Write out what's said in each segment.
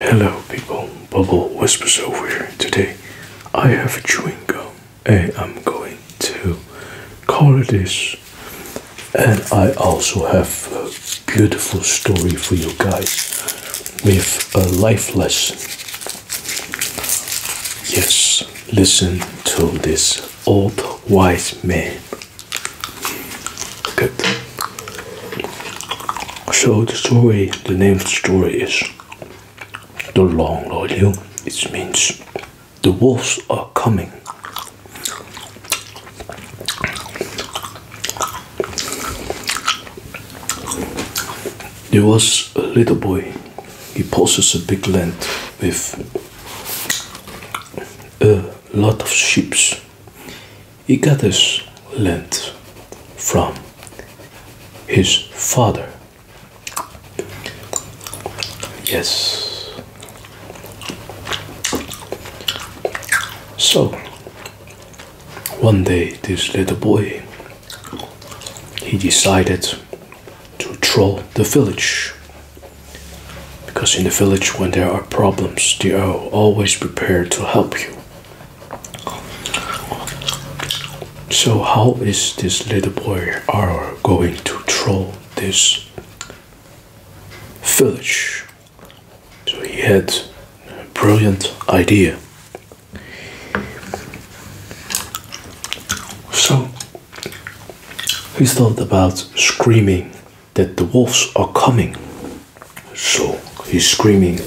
Hello people, Bubble Whispers over here. Today I have a chewing gum and I'm going to call it this. And I also have a beautiful story for you guys with a life lesson. Yes, listen to this old wise man. Good. So the story, the name of the story is The Long Lord It means the wolves are coming. There was a little boy. He passes a big land with a lot of ships he got this land from his father. Yes. So, one day this little boy, he decided to troll the village. Because in the village, when there are problems, they are always prepared to help you. So how is this little boy are going to troll this village? So he had a brilliant idea. So he thought about screaming that the wolves are coming so he's screaming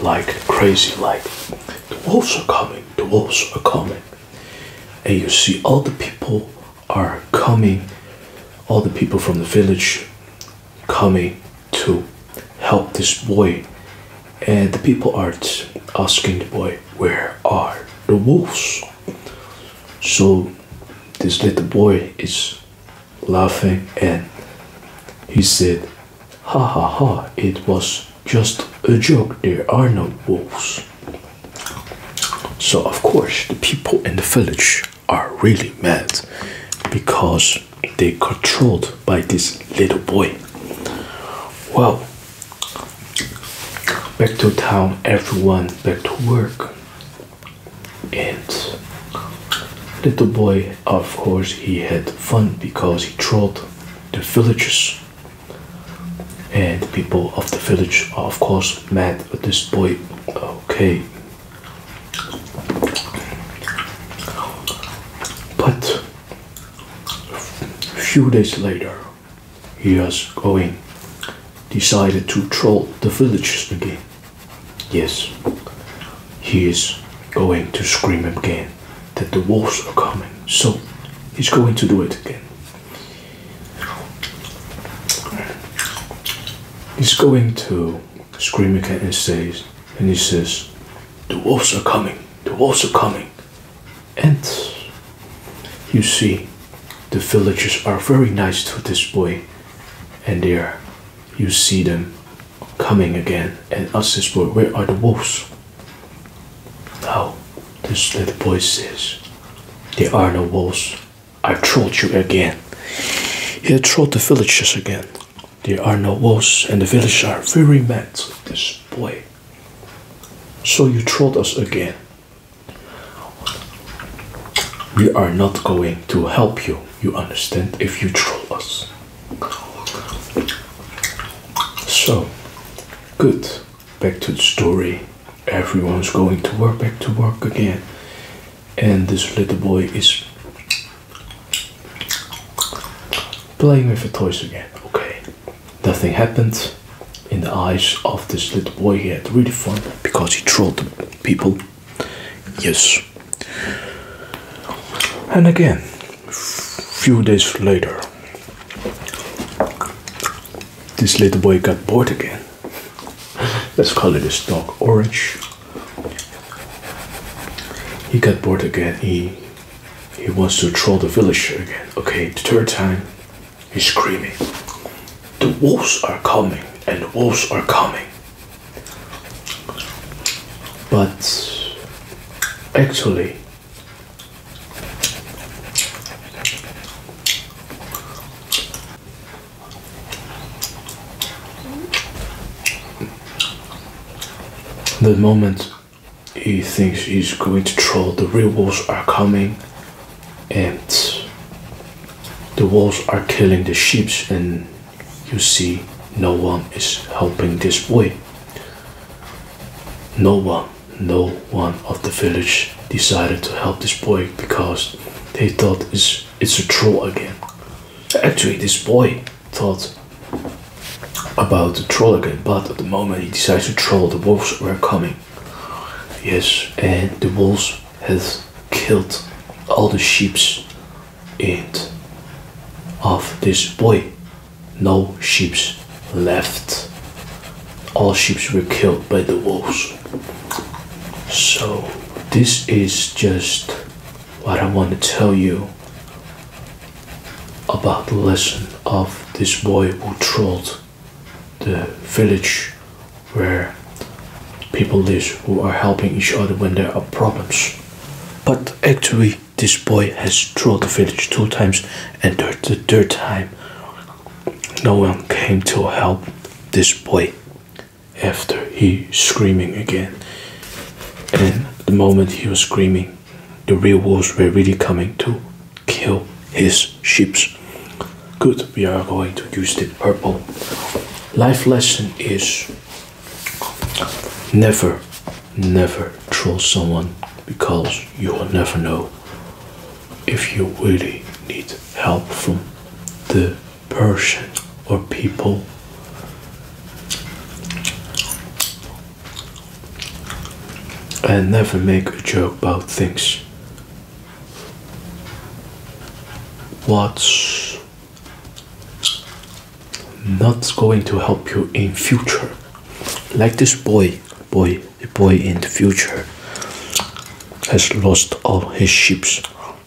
like crazy, like the wolves are coming, the wolves are coming. And you see all the people are coming, all the people from the village coming to help this boy. And the people are asking the boy, Where are the wolves? So this little boy is laughing and he said, Ha ha ha, it was just a joke, there are no wolves. So, of course, the people in the village are really mad because they're controlled by this little boy. Well, back to town, everyone back to work. And little boy, of course, he had fun because he trolled the villagers. And people of the village are, of course, mad with this boy. Okay. But a few days later, he was going, decided to troll the villagers again. Yes, he is going to scream again that the wolves are coming. So he's going to do it again. He's going to scream again and says, and he says, the wolves are coming, the wolves are coming. And you see, the villagers are very nice to this boy and they are you see them coming again and us this boy, where are the wolves? No, this little boy says, there are no wolves. I trolled you again. He trolled the villagers again. There are no wolves and the villagers are very mad at this boy. So you trolled us again. We are not going to help you you understand if you troll us. So, good. Back to the story. Everyone's going to work, back to work again. And this little boy is playing with the toys again. Okay, nothing happened. In the eyes of this little boy, he had really fun because he trolled the people. Yes. And again, few days later, this little boy got bored again. Let's call it this dog orange. He got bored again. He he wants to troll the village again. Okay, the third time, he's screaming. The wolves are coming, and the wolves are coming but actually the moment he thinks he's going to troll the real wolves are coming and the wolves are killing the sheep and you see, no one is helping this boy. No one, no one of the village decided to help this boy because they thought it's, it's a troll again. Actually, this boy thought about the troll again, but at the moment he decides to troll, the wolves were coming. Yes, and the wolves had killed all the sheeps it of this boy. No sheep left. All sheep were killed by the wolves. So, this is just what I want to tell you about the lesson of this boy who trolled the village where people live who are helping each other when there are problems. But actually, this boy has trolled the village two times, and the third time, no one came to help this boy after he screaming again. And the moment he was screaming, the real wolves were really coming to kill his sheep. Good, we are going to use the purple life lesson is never never troll someone because you will never know if you really need help from the person or people and never make a joke about things what's not going to help you in future like this boy boy the boy in the future has lost all his ships.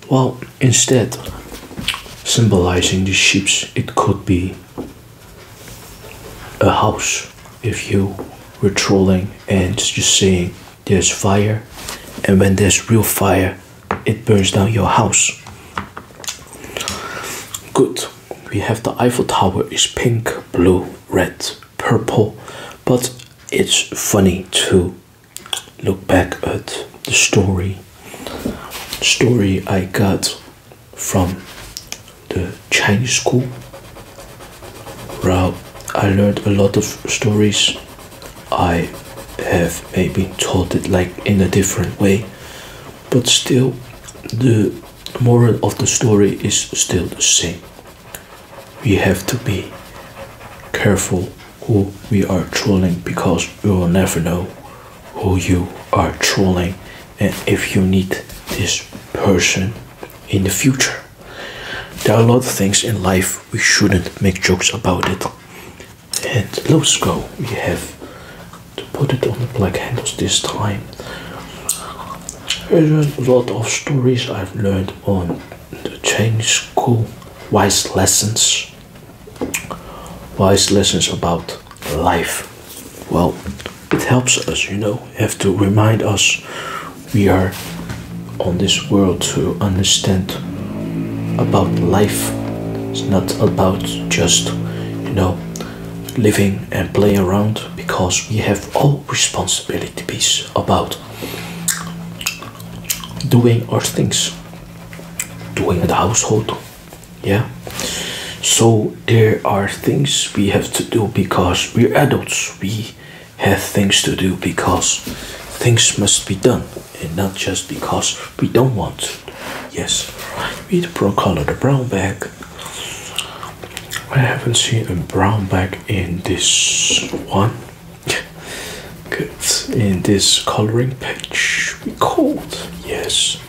well instead symbolizing the ships, it could be a house if you were trolling and just saying there's fire, and when there's real fire, it burns down your house. Good. We have the Eiffel Tower is pink, blue, red, purple, but it's funny to look back at the story. story I got from the Chinese school. Well, I learned a lot of stories I have maybe taught it like in a different way, but still, the moral of the story is still the same. We have to be careful who we are trolling because we will never know who you are trolling and if you need this person in the future. There are a lot of things in life we shouldn't make jokes about it. And let's go. We have to put it on the black handles this time. There's a lot of stories I've learned on the Chinese school. Wise lessons. Wise lessons about life. Well, it helps us, you know, have to remind us we are on this world to understand about life. It's not about just, you know, living and play around because we have all responsibility. responsibilities about doing our things, doing the household. Yeah. So there are things we have to do because we're adults. We have things to do because things must be done and not just because we don't want to. Yes, we the brown color, the brown bag. I haven't seen a brown bag in this one. Good. In this coloring page, we called. Yes.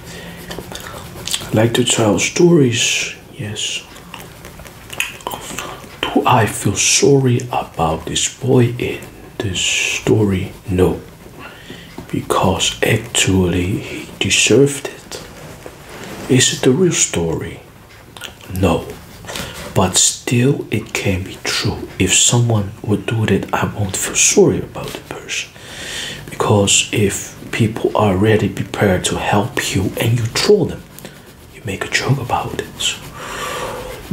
I like to tell stories. Yes. Do I feel sorry about this boy in this story? No, because actually he deserved it. Is it a real story? No, but still it can be true. If someone would do that, I won't feel sorry about the person because if people are already prepared to help you and you troll them, you make a joke about it.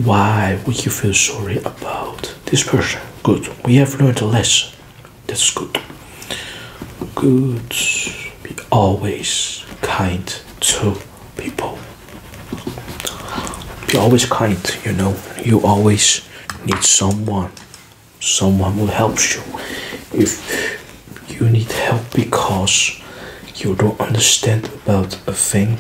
Why would you feel sorry about this person? Good. We have learned a lesson. That's good. Good. Be always kind to people. Be always kind, you know. You always need someone. Someone who helps you. If you need help because you don't understand about a thing,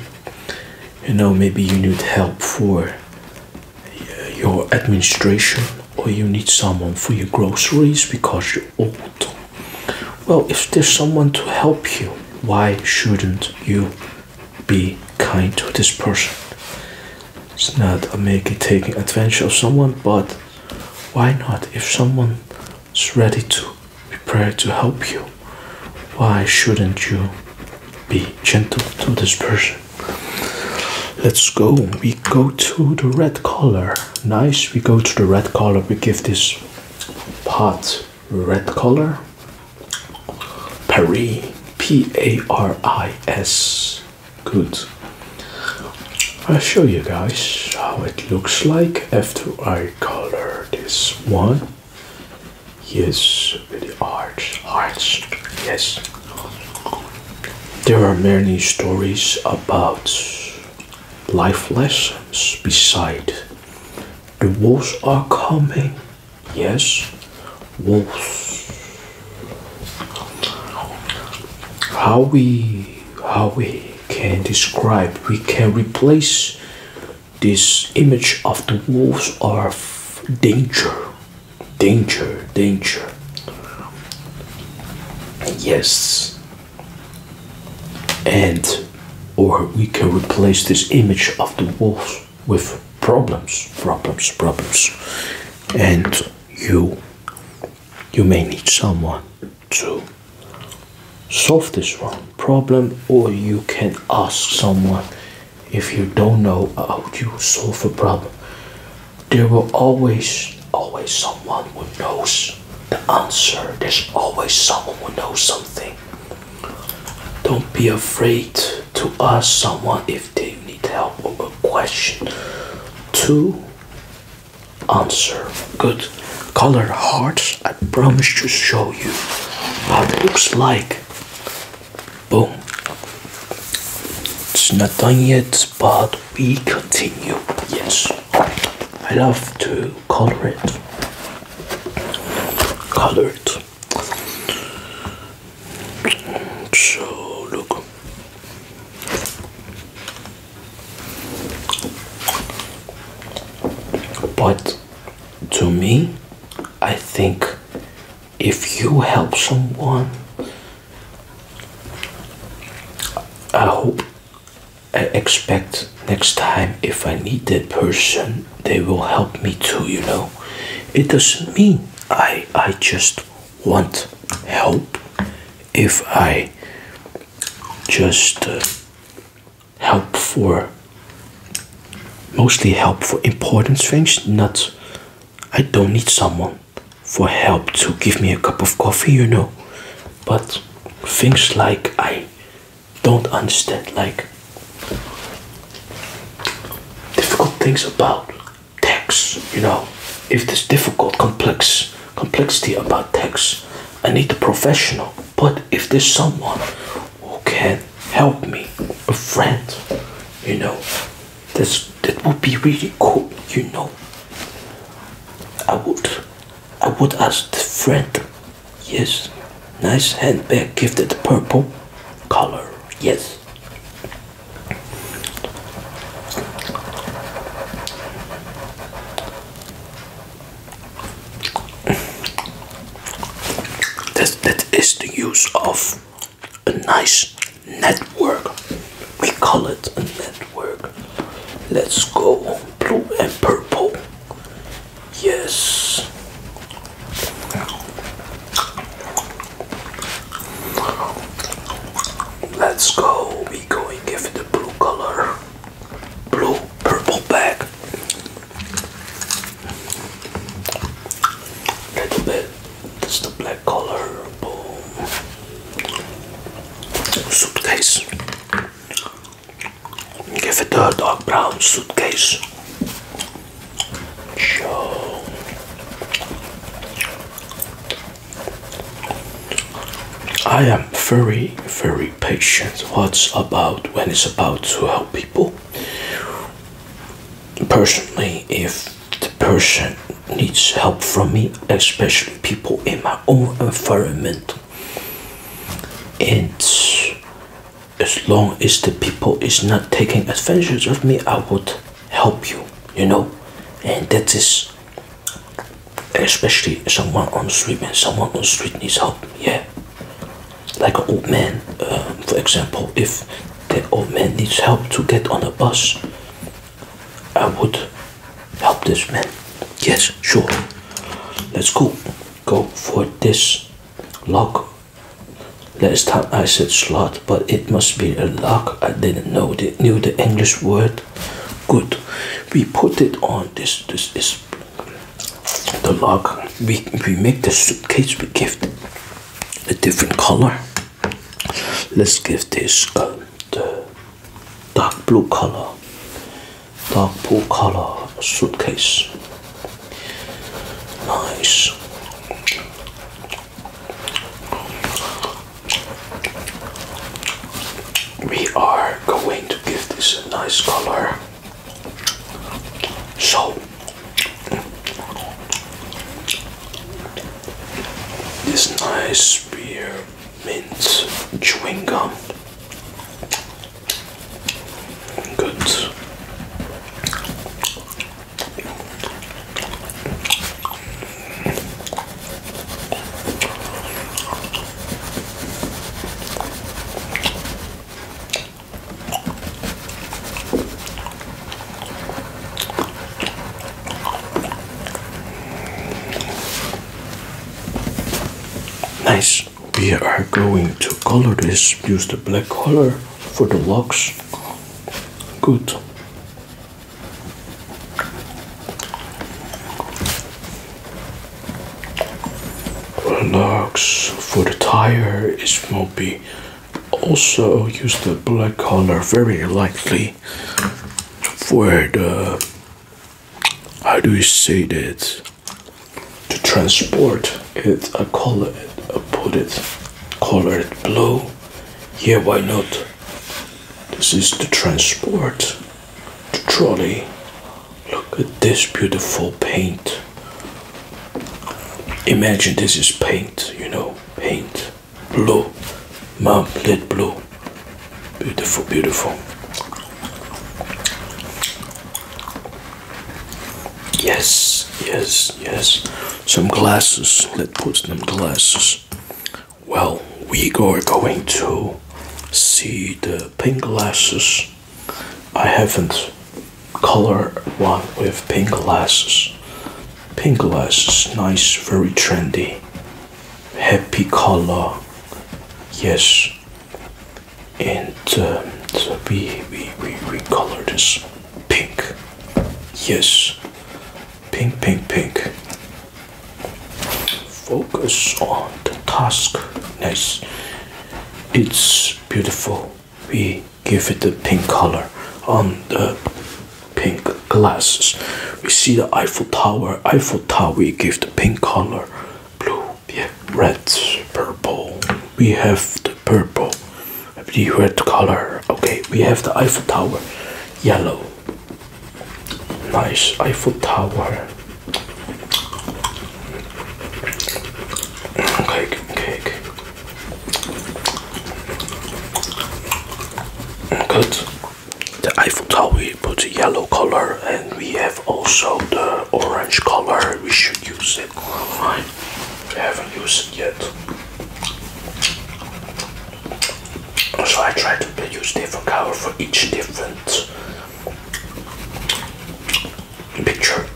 you know maybe you need help for uh, your administration or you need someone for your groceries because you're old well if there's someone to help you why shouldn't you be kind to this person it's not a make taking advantage of someone but why not if someone is ready to prepare to help you. Why shouldn't you be gentle to this person? Let's go. We go to the red color. Nice. We go to the red color. We give this part red color. Paris. P A R I S. Good. I'll show you guys how it looks like after I color this one. Yes, with the arts, arts. Yes. There are many stories about life lessons beside. The wolves are coming. Yes, wolves. How we how we can describe, we can replace this image of the wolves are danger, danger, danger. Yes, and or we can replace this image of the wolves with problems, problems, problems, and you you may need someone to solve this one problem or you can ask someone if you don't know how to solve a problem there will always always someone who knows the answer there's always someone who knows something don't be afraid to ask someone if they need help or a question to answer good color hearts. I promise to show you how it looks like. Boom. It's not done yet, but we continue. Yes, I love to color it. Color it. So look. But to me, I think if you help someone, I hope I expect next time if I need that person, they will help me too, you know. It doesn't mean I I just want help if I just uh, help for mostly help for important things not i don't need someone for help to give me a cup of coffee you know but things like i don't understand like difficult things about tax you know if there's difficult complex complexity about tax I need a professional. But if there's someone who can help me, a friend, you know, this that would be really cool, you know. I would I would ask the friend. Yes. Nice handbag gifted purple color. Yes. That, that is the use of a nice network. We call it a network. Let's go blue and purple. Yes. Let's go. We're going give it a blue color blue purple bag. Little bit. That's the black color. Boom. Suitcase. Give it a dark brown suitcase. Show. I very, very patient. What's about when it's about to help people? Personally, if the person needs help from me, especially people in my own environment, it's as long as the people is not taking advantage of me, I would help you, you know, and that is especially someone on street when someone on street needs help yeah like an old man um, for example if the old man needs help to get on a bus i would help this man yes sure let's go go for this lock last time i said slot but it must be a lock i didn't know the knew the english word good we put it on this this is the log we, we make the suitcase we give it a different color let's give this uh, the dark blue color dark blue color suitcase nice we are going to give this a nice color so this nice spear mint chewing gum. Good. Nice. We are going to color this. Use the black color for the locks. Good. Locks for the tire is mopey. Also use the black color very lightly for the how do you say that to transport it I call it I put it color it blue yeah why not this is the transport the trolley. Look at this beautiful paint. Imagine this is paint, you know, paint. Blue, mom, lit blue. Beautiful, beautiful. Yes, yes, yes. Some glasses. Let's put some glasses. Well, we are going to see the pink glasses. I haven't color one with pink glasses. Pink glasses, nice, very trendy. Happy color, yes. And uh, we, we, we, we color this pink, yes. Pink, pink, pink. Focus on the task. Nice. It's beautiful. We give it the pink color on the pink glasses. We see the Eiffel Tower. Eiffel Tower, we give the pink color. Blue, yeah, red, purple. We have the purple. The red color. Okay, we have the Eiffel Tower. Yellow. Nice Eiffel Tower. Cake, cake. Good. The Eiffel Tower we put the yellow color and we have also the orange color. We should use it. Fine. We haven't used it yet. So I try to use different color for each different picture.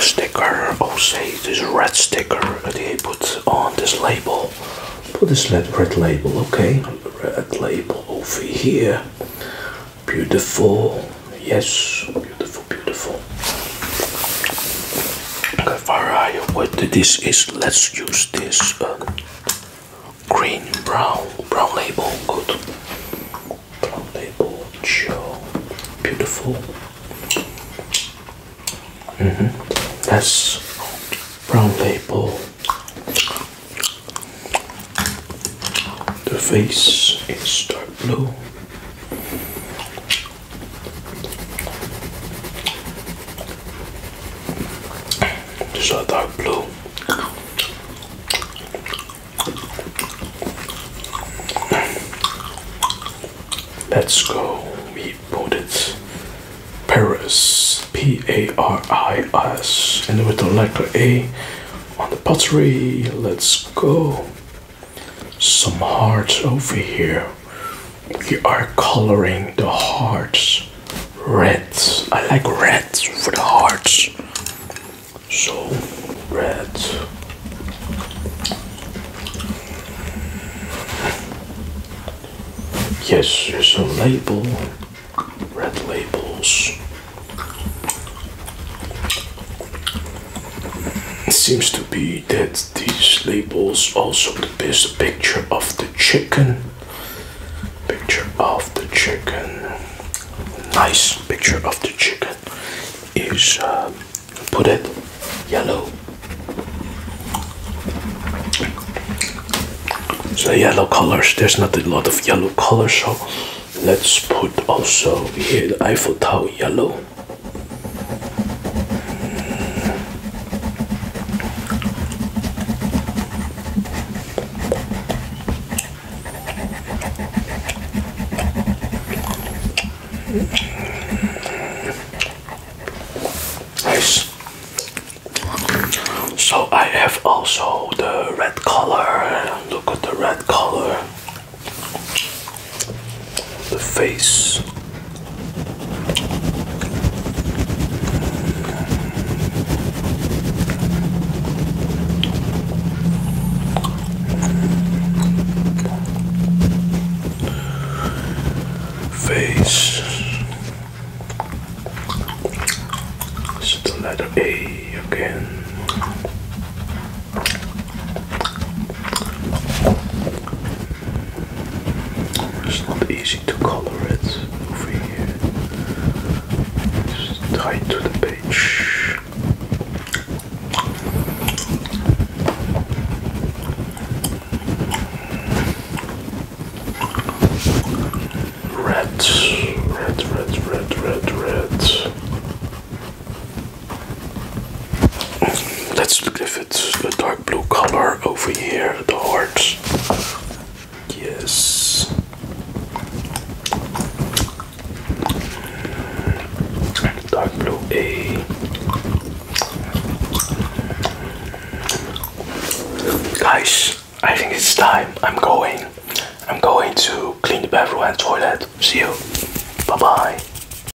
sticker, oh say this red sticker that they put on this label. Put this red label, okay. Red label over here. Beautiful, yes, beautiful, beautiful. The variety what this is, let's use this uh, green brown brown label. Good brown label, show beautiful. Mm-hmm. That's brown label. The face is dark blue. These are dark blue. Let's go. We put it. Paris. P-A-R-I-S. And with the letter A on the pottery. Let's go some hearts over here. We are coloring the hearts red. I like red for the hearts. So red. Yes, there's a label. Red labels. It seems to be that these labels also the best picture of the chicken. Picture of the chicken. Nice picture of the chicken is uh, put it yellow. So yellow colors. There's not a lot of yellow colors, so let's put also here the Eiffel Tower yellow. Nice. So I have also the red color. Look at the red color the face. Face. So the letter A again. It's not easy to color it over here. It's to the page. Red, red, red, red, red, red. Let's look if it's the dark blue color over here, the heart. Yes. Dark blue A. Guys, I think it's time. I'm going. I'm going to clean the bathroom and toilet. See you. Bye bye.